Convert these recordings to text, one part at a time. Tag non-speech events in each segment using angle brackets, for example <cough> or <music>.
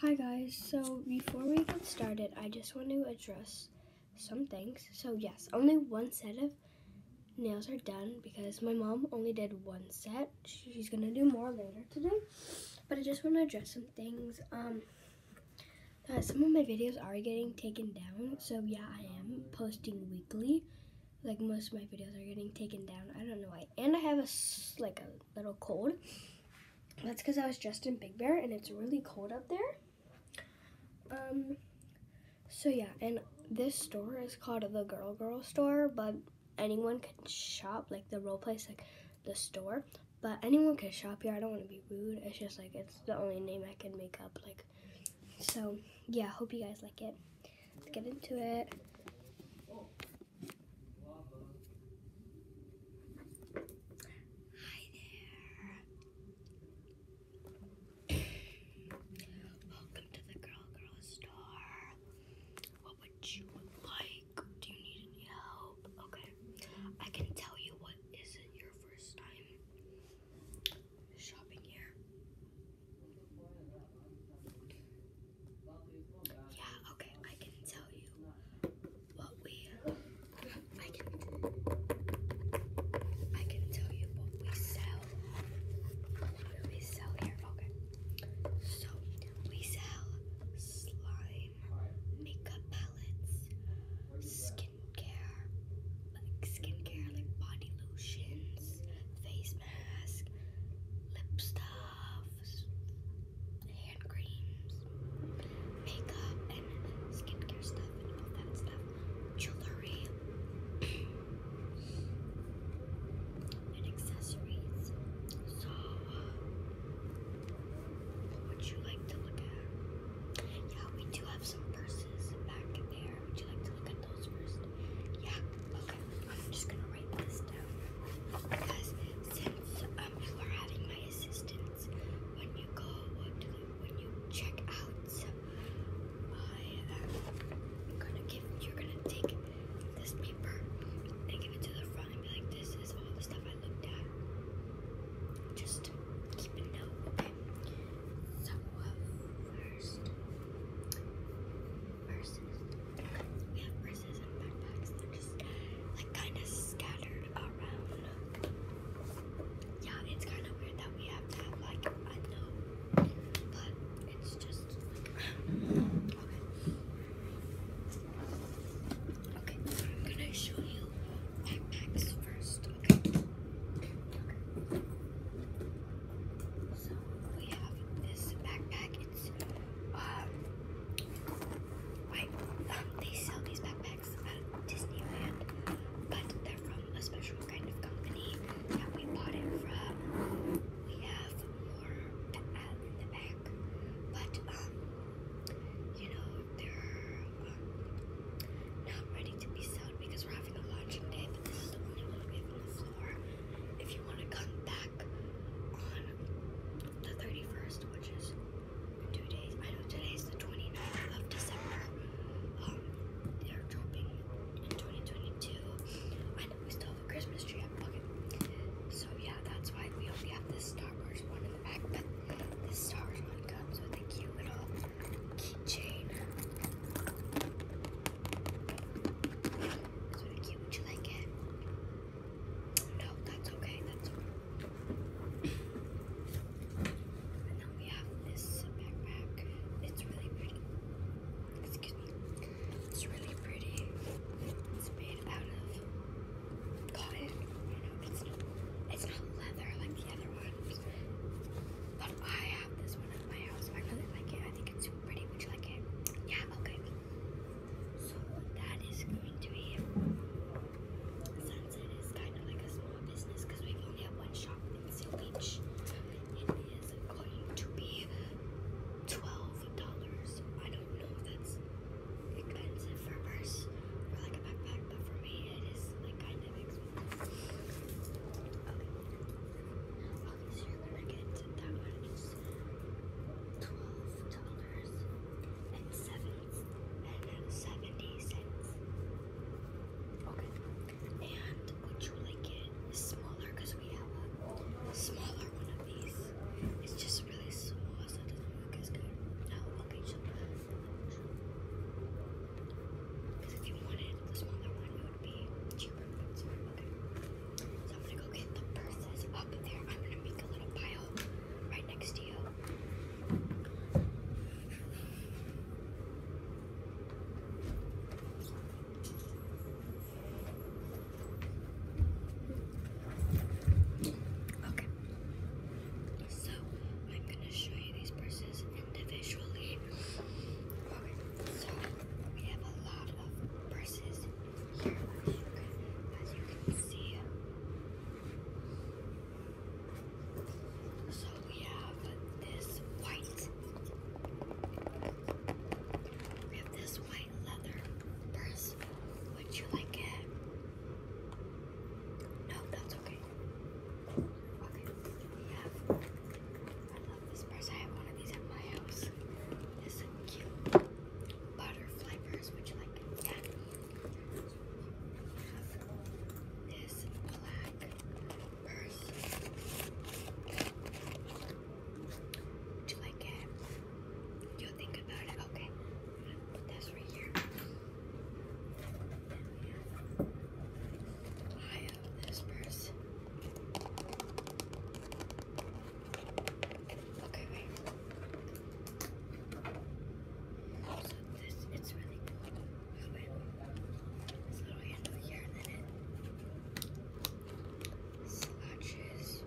Hi guys, so before we get started, I just want to address some things. So yes, only one set of nails are done because my mom only did one set. She's going to do more later today. But I just want to address some things. Um, some of my videos are getting taken down. So yeah, I am posting weekly. Like most of my videos are getting taken down. I don't know why. And I have a, like a little cold. That's because I was dressed in Big Bear and it's really cold up there. Um, so yeah, and this store is called the Girl Girl Store, but anyone can shop, like the role play, like the store. But anyone can shop here. I don't want to be rude. It's just like it's the only name I can make up. Like, so yeah. Hope you guys like it. Let's get into it. Hi there. Welcome to the Girl Girl Store. What would you like? Do you need any help? Okay. I can tell you what isn't your first time shopping here. Yeah, okay, I can tell you what we I can I can tell you what we sell. we sell here. Okay. So we sell slime, makeup palettes, skincare, like skincare like body lotions, face mask, lip stuff gloves, hand creams, makeup, and skincare stuff, and all that stuff, jewelry, <clears throat> and accessories. So, would you like to look at? Yeah, we do have some purses back there. Would you like to look at those first? Yeah, okay. I'm just gonna write because since um, you are having my assistance when you go when you check out, I am uh, gonna give you're gonna take this paper and give it to the front and be like, this is all the stuff I looked at. Just keep a note, So uh, first purses. We have purses and backpacks. They're just like kind of scattered around. Yeah, it's kind of weird that we have to have like I know, but it's just okay. Okay, I'm gonna show you backpacks first. Okay. So we have this backpack um, wait, um, they sell these backpacks at Disneyland, but they're from a special kind of company that we bought it from. We have more in the back, but um you know they're um, not ready to be sold because we're having a launching day, but this is the only one we have in the if you want to come back on the 31st, which is two days. I know today is the 29th of December. Um, they're dropping in 2022. I know we still have a Christmas tree So, yeah, that's why we only have this Star Wars one in the back, but this Star Wars one comes with a cute little keychain. It's cute. Would you like it? No, that's okay. That's okay. and we have this backpack. It's really pretty. Excuse me. It's really pretty. It's made out of cotton. You know, it's not, it's not leather like the other ones. But I have this one at my house. I really like it. I think it's pretty. Would you like it? Yeah, okay. So that is going to be Sunset is kind of like a small business because we've only had one shop in Seal Beach. It is going to be twelve dollars. I don't know if that's expensive for a or like a backpack, but for me it is like kind of expensive. Okay ones you packets, that one is twelve dollars seventy Okay. And would you like it smaller? Cause we have a smaller one of these. It's just really small, so it doesn't look as good. Oh, okay. So, cause if you wanted the smaller one, would So I'm gonna go get the purses up there. I'm gonna make a little pile right next to you. Okay. So I'm gonna show you these purses individually. Okay, so we have a lot of purses here as you So we have this white. We have this white leather purse. Would you like it? No, that's okay. Okay, we this purse, I have one of these at my house. This is cute butterfly purse, which like that. This black purse. Do you like it? You'll think about it. Okay. i right here this purse. Okay, wait. So this, it's really cool. Oh, This little handle here, and then it slouches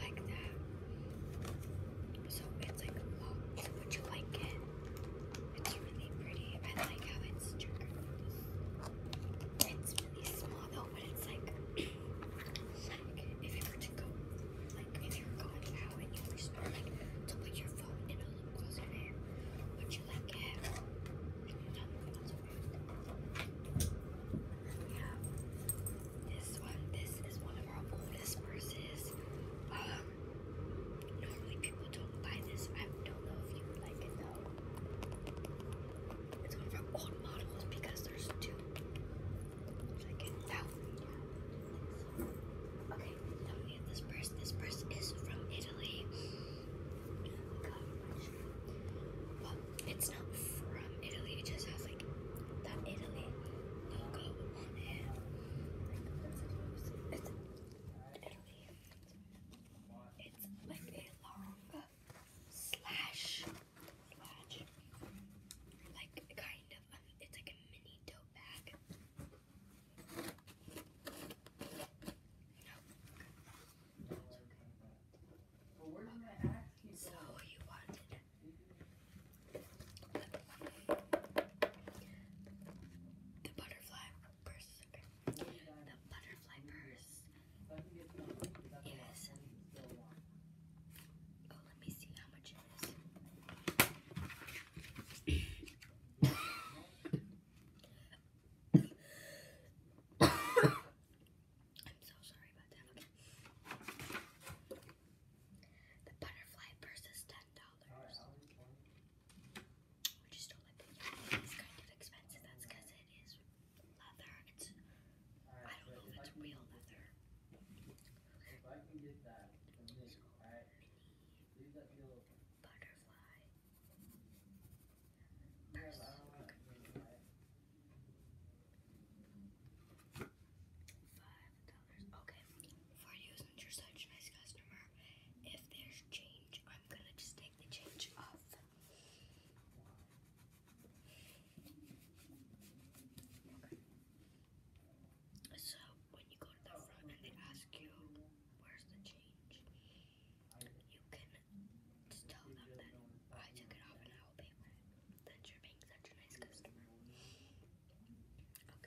like that. So it's like locked, so would you like it? It's really pretty. I like how it's checkered. It's really small though, but it's <clears throat> like, if you were to go, like if you were going out and you were like to put your phone in a lip gloss would you like it? Yeah. This one, this is one of our oldest purses. Um, normally people don't buy this. I don't know if you would like it though. It's one of our old models because there's two. Okay, now we have this purse. This purse is from Italy. God, it's not from Italy. It just has like that Italy logo on it it's like a long slash, slash, like kind of, um, it's like a mini tote bag. So you wanted the butterfly purse. The butterfly purse is. Oh, let me see how much it is. <coughs> I'm so sorry about that. The butterfly purse is ten dollars. I just don't like these kind of expensive. That's because it is leather. It's I don't know if it's real leather. If I can get that from this, alright. Leave that butterfly. Purse. Five dollars. Okay. For you since such nice customer, if there's change I'm gonna just take the change off. So when you go to the front and they ask you where's the change, you can just tell them that I took it off and I will pay for it. That you're being such a nice customer. Okay.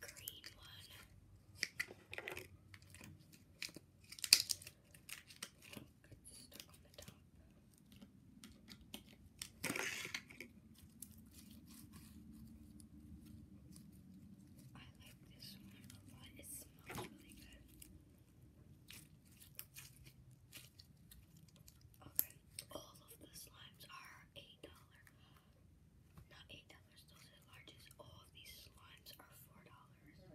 green one. I like this one a lot. It smells really good. Okay, all of the slimes are $8. Not eight dollars. Those are the largest. All of these slimes are four dollars. There are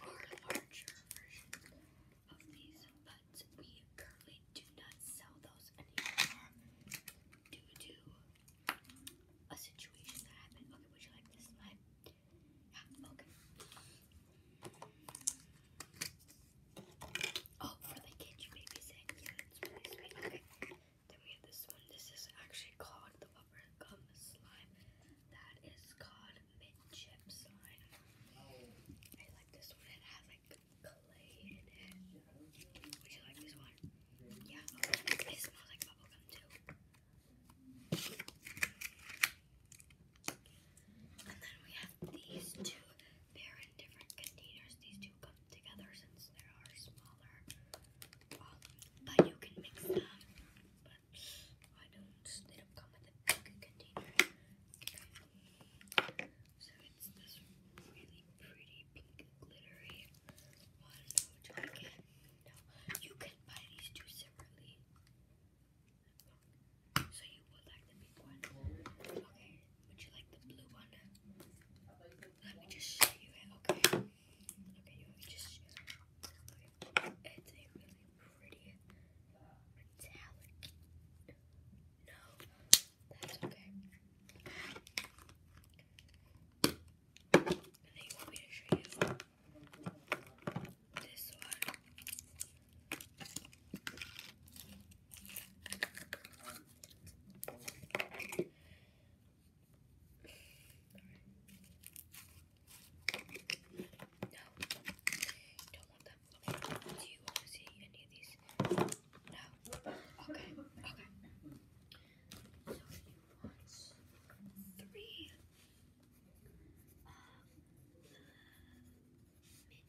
larger versions of these, but we currently do not sell those anymore due to a situation that happened. Okay, would you like this slime? Yeah, okay. Oh, for the kids you may be sick. that's really sweet. Then we have this one. This is actually called the bubble slime. That is called mint slime. I like this one. It has like clay in it. Would you like this one? Yeah. It smells like bubble too. And then we have these two. They're in different containers. These two come together since they are smaller. Um, but you can mix them. But I don't. They don't come with a big container. So it's this really pretty pink glittery one, which I No, you can buy these two separately. So you would like the pink one. Okay. Would you like the blue one? Let me just show you it. Okay. Okay, you just It's a really pretty No, that's okay. And me show you this one don't want them. Do you want to see any of these? No. Okay. Okay. So you three mini.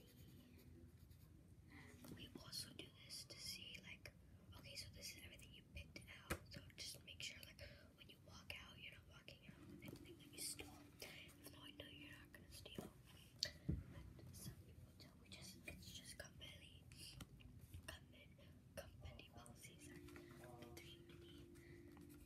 Um, we also do this to see like, okay, so this is everything you picked out. So just make sure like when you walk out, you're not walking out with anything that you stole. Even though I know you're not gonna steal. But some people do. We just it's just company, company, company policies. Are three mini slimes.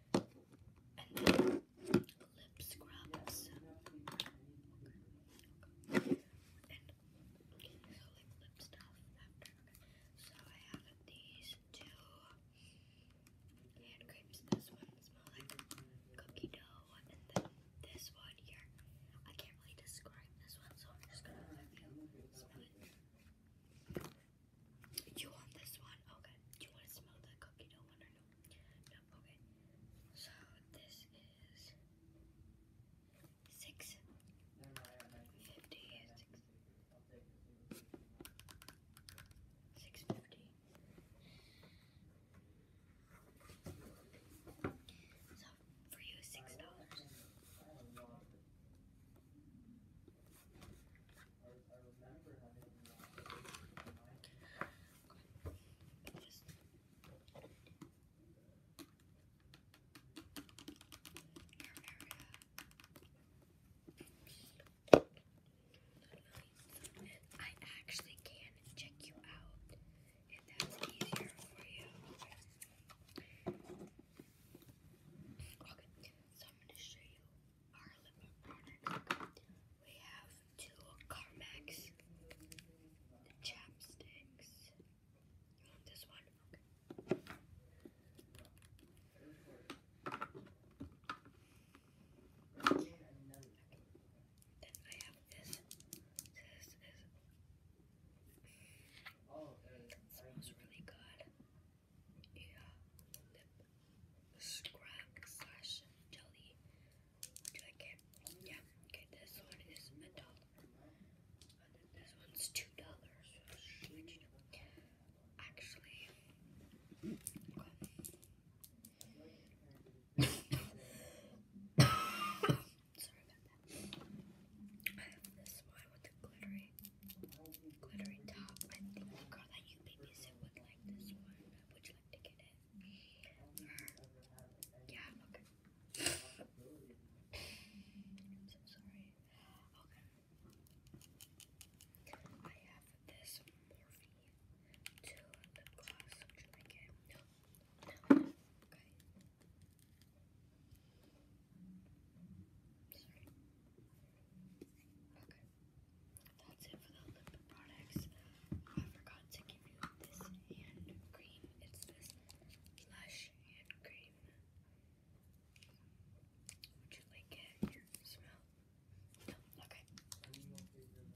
And then lip scrubs. Okay. Okay. so like lip stuff after. So I have these two hand crepes. This one smells like cookie dough. And then this one here. I can't really describe this one, so I'm just gonna let you smell it. You want this one? Okay. Do you want to smell the cookie dough one or no? No, okay. So this is six fifty. Six fifty. So for you, six dollars. I actually can check you out if that's easier for you. So I'm going to show you our lip product. We have two Carmex chapsticks. You want this one? Okay. okay. Then I have this. This is. It smells really good a lip scrub slash jelly. Would you like Yeah. Okay, this one is a dollar. this one's two dollars. Actually, Sorry about that. I have this one with the glittery, glittery top. I think the girl that you babysit would like this one. Would you like to get it? Yeah, okay. I'm so sorry. Okay. I have this Morphe to lip gloss. Would you like it? Okay. Okay. That's it for the lip products. Oh, I forgot to give you this hand cream. It's this Lush hand cream. Would you like it? Smell? Okay. Okay, so now I'm gonna go in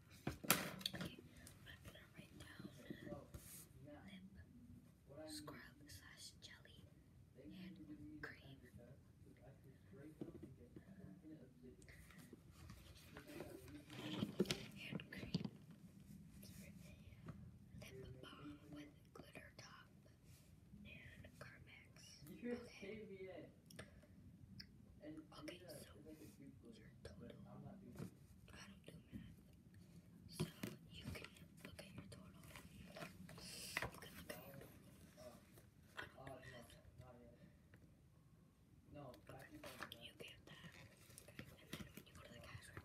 Okay, I'm gonna write down lip scrub slash jelly hand cream. Hand cream. Lip balm with glitter top and Carmex. Okay. Okay, so your total I don't do math. So you can look at your total. You look at your total. I don't do math. Okay, you get that. and then when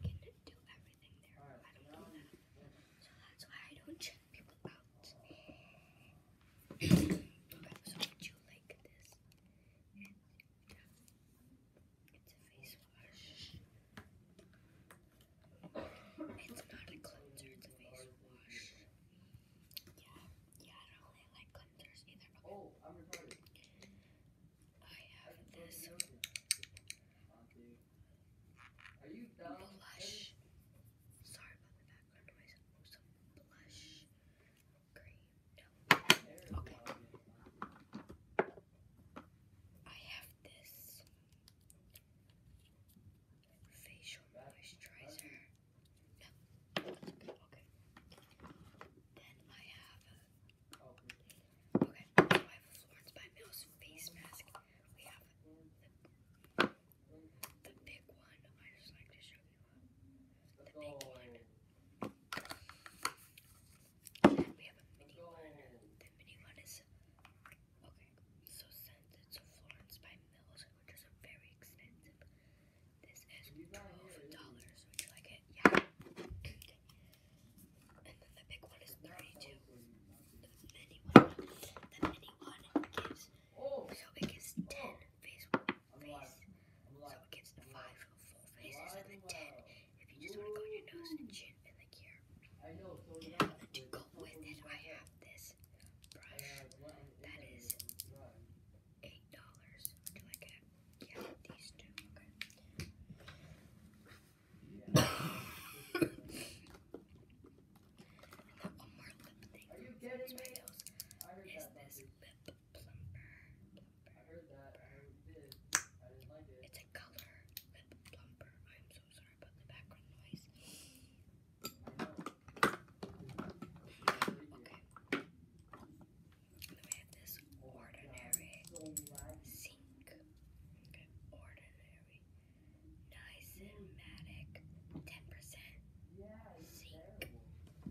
you go to the cash register, they can do everything there. I don't do that. So that's why I don't check people out. so would you like this? It's a face wash. It's not a cleanser, it's a face wash. Yeah, yeah, I don't really like cleansers either. Oh, I have this blush. Sorry about the background noise. blush green. Okay. I have this facial moisturizer. Okay. Then I have a, okay. I have a Florence by Mills face mask. We have the big one. I just like to show you. The mini one. The mini one is okay. So sent it to Florence by Mills, which is very expensive. This is twelve dollars. Would you like it? Yeah. Okay. And then the big one is thirty-two. The mini one. The mini one gives so it gives ten face. So it gets the five full faces and then ten if you just want to go on your nose and chin and the here. to go with it, I have this brush that is eight dollars. Would you like it? Yeah, these two. Okay. and <coughs> then one more lip thing. Is this lip it's a color lip plumper. I'm so sorry about the background noise. Okay. And then have this ordinary sink. Okay, ordinary. Nice and matic. 10% sink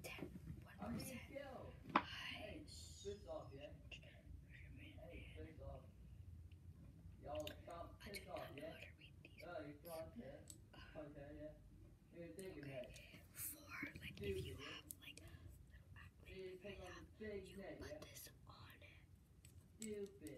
ten one percent. Okay. For like if you have like little acne like I have, you put this on it. Okay. Okay.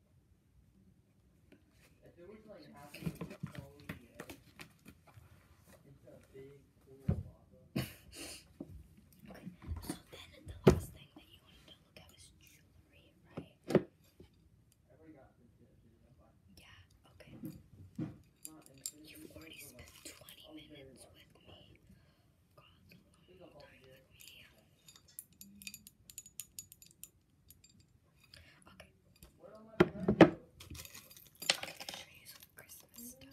it's a big pool Okay, so then the last thing that you wanted to look at is jewelry, right? Yeah, okay. You've already spent 20 minutes with me. God, a long time with me. Okay. I'll show you some Christmas stuff.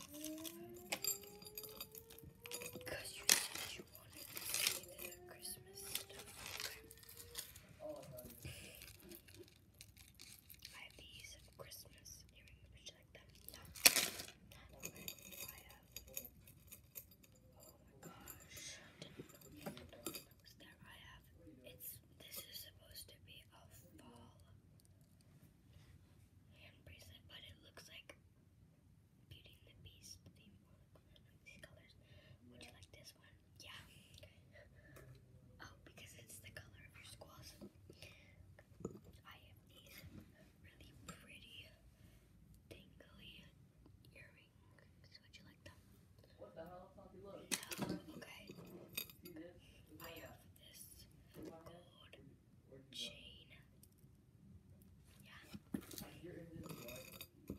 Because you said you wanted to Christmas stuff. I have these Christmas earrings. Would you like them? Uh, Oh my gosh. I did that I have it's this is supposed to be a fall bracelet, but it looks like Beauty and the Beast theme these colors. Would you like this one? Yeah. Oh, because it's the color of your squalls. I have these really pretty dangly earrings. Would you like them? What the hell? Oh, okay. I have this chain. Yeah. I have this butterfly my tinkle. Then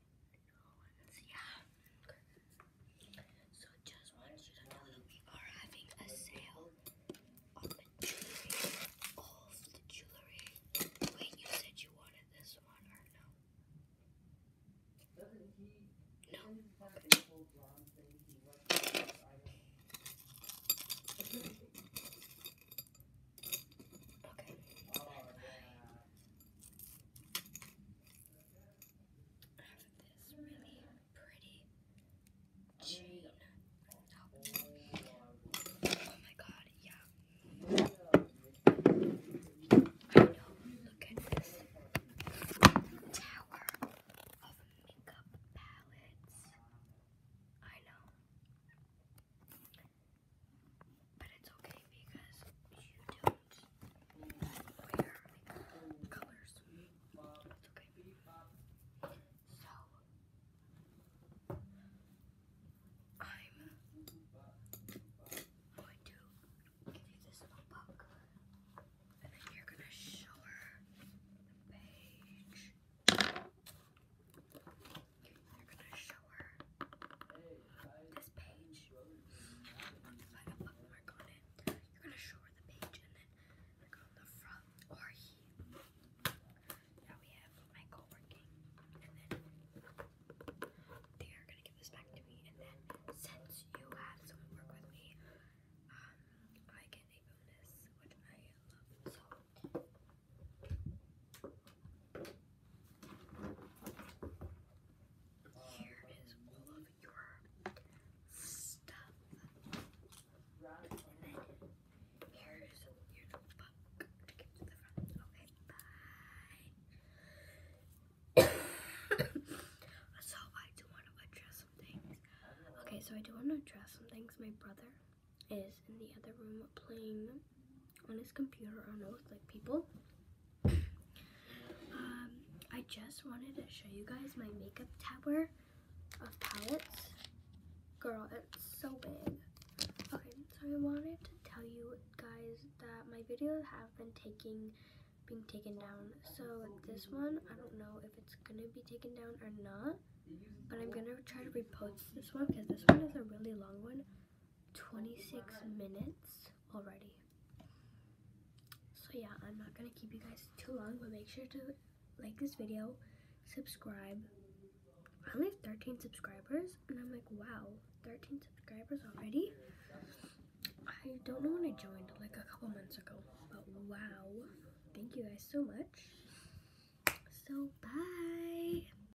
yeah. So just want you to know we are having a sale on jewelry, all the jewelry. Wait, you said you wanted this one or no? No. Okay. I have this really pretty Oh my god, yeah. I know, look at this tower of makeup palettes. I know. But it's okay because you don't wear colors. It's okay. So, I'm going to give you this book, and then you're going to show her the page. They're gonna show her this page. If I have a bookmark on it, you're gonna show her the page and then like on the front or he. Now we have my co and then they are gonna give this back to me and then since you have someone work with me, um I get a bonus, which I love so here is all of your stuff. And then here's your notebook to get to the front. Okay, bye. so I do want to address some things. Okay, so I do want to address some things. My brother is in the other room playing on his computer. I don't know, it's like people. Um, I just wanted to show you guys my makeup tower of palettes. Girl, it's so big. Okay, so I wanted to tell you guys that my videos have been taking being taken down. So this one, I don't know if it's gonna be taken down or not, but I'm gonna try to repost this one because this one is a really long one. 26 minutes already. So yeah, I'm not gonna keep you guys too long, but make sure to like this video, subscribe. I only have 13 subscribers, and I'm like, wow, 13 subscribers already? I don't know when I joined, like a couple months ago, but wow. Thank you guys so much. So, bye.